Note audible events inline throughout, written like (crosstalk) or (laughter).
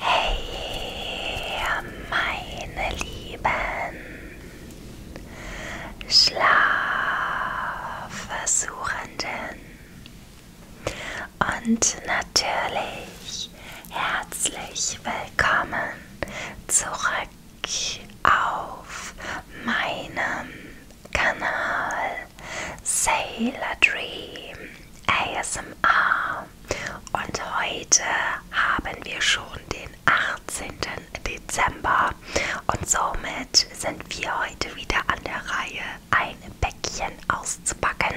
Hey, meine Lieben, Schlafversuchenden. Und natürlich herzlich willkommen zurück auf meinem Kanal Sailor Dream ASMR. Und heute haben wir schon den 18. Dezember und somit sind wir heute wieder an der Reihe kleine Päckchen auszupacken.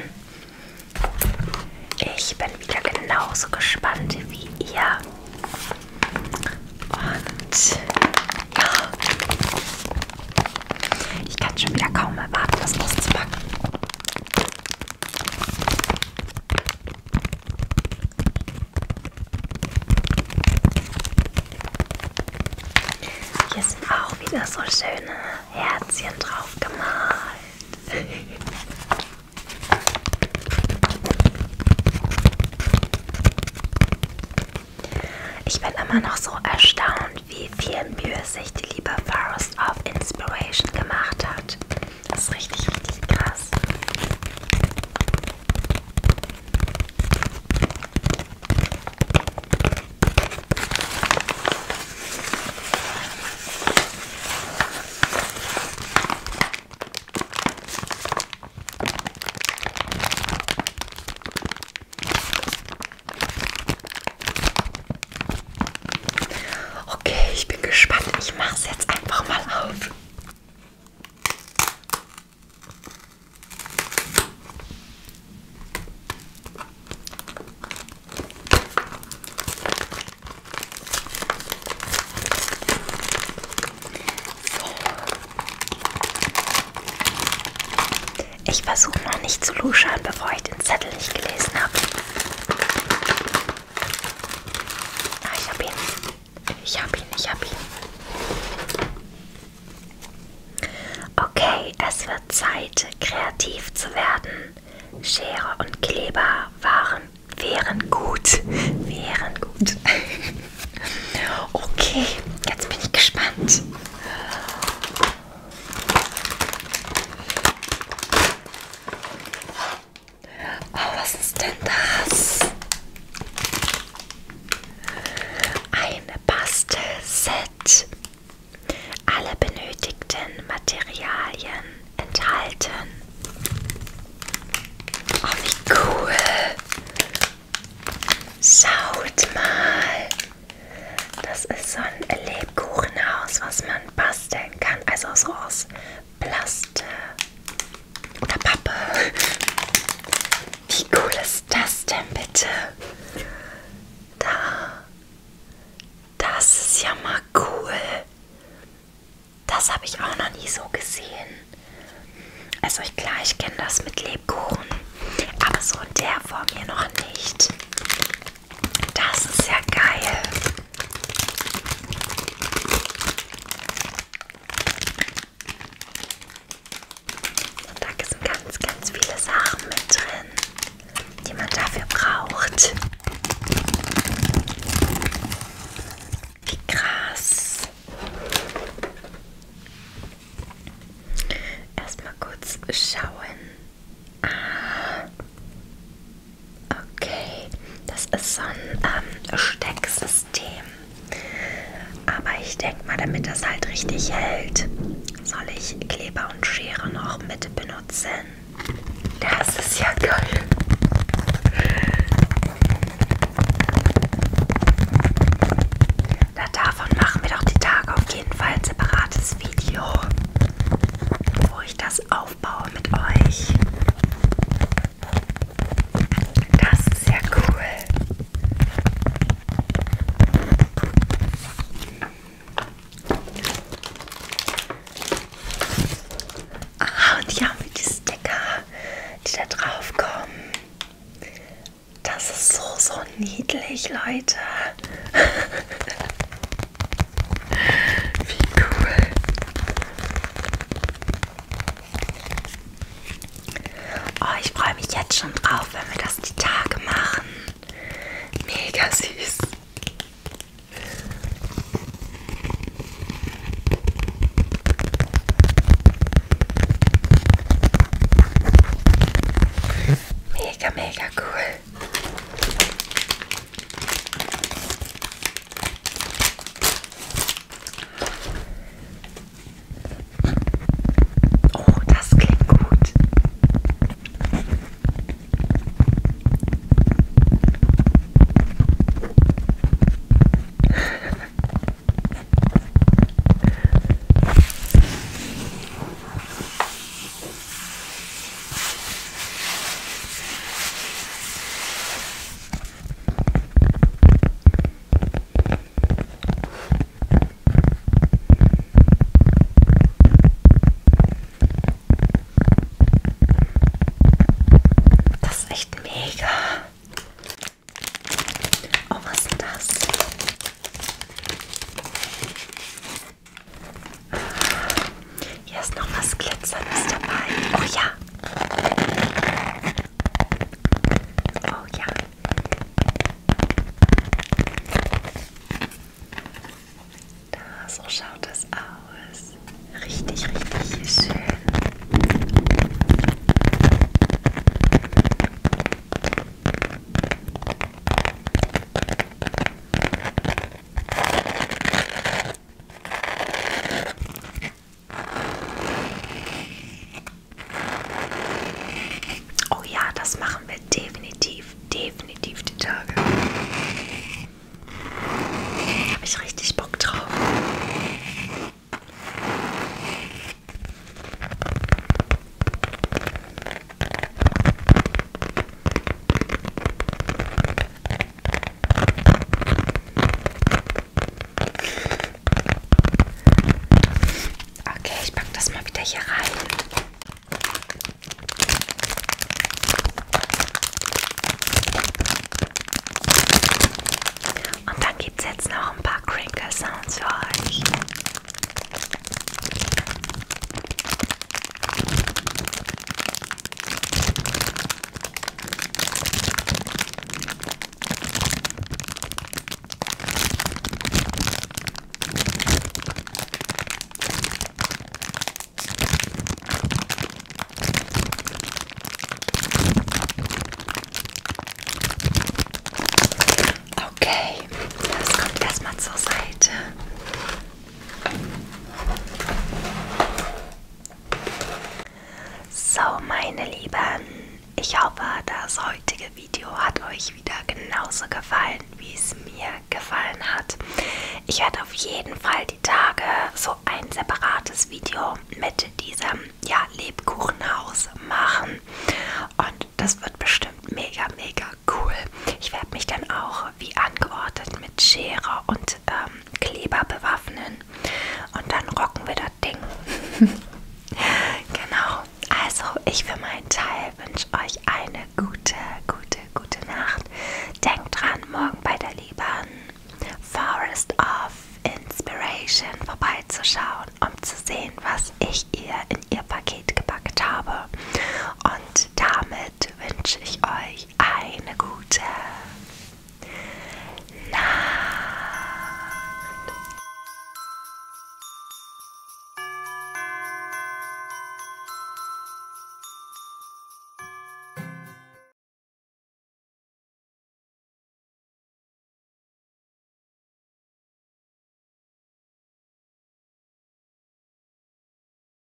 Ich bin wieder genauso gespannt wie ihr. Und ja, ich kann schon wieder kaum erwarten, das auszupacken. Hier sind auch wieder so schöne Herzchen drauf gemalt. Ich bin immer noch so erstaunt, wie viel Mühe sich die liebe Forest of Inspiration gemacht hat. Das ist richtig, richtig krass. Okay, ich bin gespannt. Ich mache es jetzt einfach mal auf. Ich versuche noch nicht zu luschern, bevor ich den Zettel nicht gelesen habe. Ah, ich habe ihn. Ich habe ihn, ich habe ihn. Okay, es wird Zeit, kreativ zu werden. Schere und Kleber waren, wären gut. Wären gut. (laughs) Okay, jetzt bin ich gespannt. Oh, was ist denn das? Ein Bastelset. Alle benötigten Materialien enthalten. Oh, wie cool! Schaut mal! Das ist so ein Lebkuchenhaus, was man basteln kann. Also so aus Plaste oder Pappe. Wie cool ist das denn bitte? Da. Das ist ja mal cool. Das habe ich auch noch nie so gesehen. Also ich, klar, ich kenne das mit Lebkuchen, aber so in der Form hier noch nicht. Das ist ja geil. Und da sind ganz, ganz viele Sachen mit drin, die man dafür braucht. Wie krass. Erstmal kurz schauen. Ah. Okay, das ist so ein ähm, Stecksystem. System. Aber ich denke mal, damit das halt richtig hält, soll ich Kleber und Schere noch mit benutzen. Das ist ja geil. Da davon machen wir doch die Tage auf jeden Fall ein separates Video, wo ich das aufbaue mit euch. Das ist ja cool. Ah, und hier haben wir die Sticker, die da drauf kommen. Das ist so, so niedlich, Leute. (laughs) Wie cool. Oh, ich freue mich jetzt schon drauf, wenn wir das die Tage machen. Mega süß. Mega, mega cool. Oh, das klingt gut. Das ist echt mega. Oh, was ist das? Hier ist noch was Glitzerndes dabei. Oh ja. Oh ja. Da, so schaut das aus. Richtig, richtig schön. Oh ja, das machen wir definitiv, definitiv die Tage. Habe ich richtig Bock drauf. Okay, ich packe das mal wieder hier rein. Und dann gibt es jetzt noch ein paar Crinkle Sounds für euch. Okay, das kommt erstmal zur Seite. So, meine Lieben, ich hoffe, das heutige Video hat euch wieder genauso gefallen, wie es mir gefallen hat. Ich werde auf jeden Fall die Tage so ein separates Video mit diesem ja, Lebkuchenhaus machen. Und das wird bestimmt mega, mega cool. Ich werde mich dann auch auch wie angeordnet mit Schere und ähm, Kleber bewaffnen. Und dann rocken wir das Ding. (laughs) genau. Also, ich für meinen Teil wünsche euch eine gute, gute, gute Nacht. Denkt dran, morgen bei der lieben Forest of Inspiration vorbeizuschauen, um zu sehen, was ich ihr in ihr Paket gepackt habe. Und damit damit wünsche ich euch eine gute Nacht.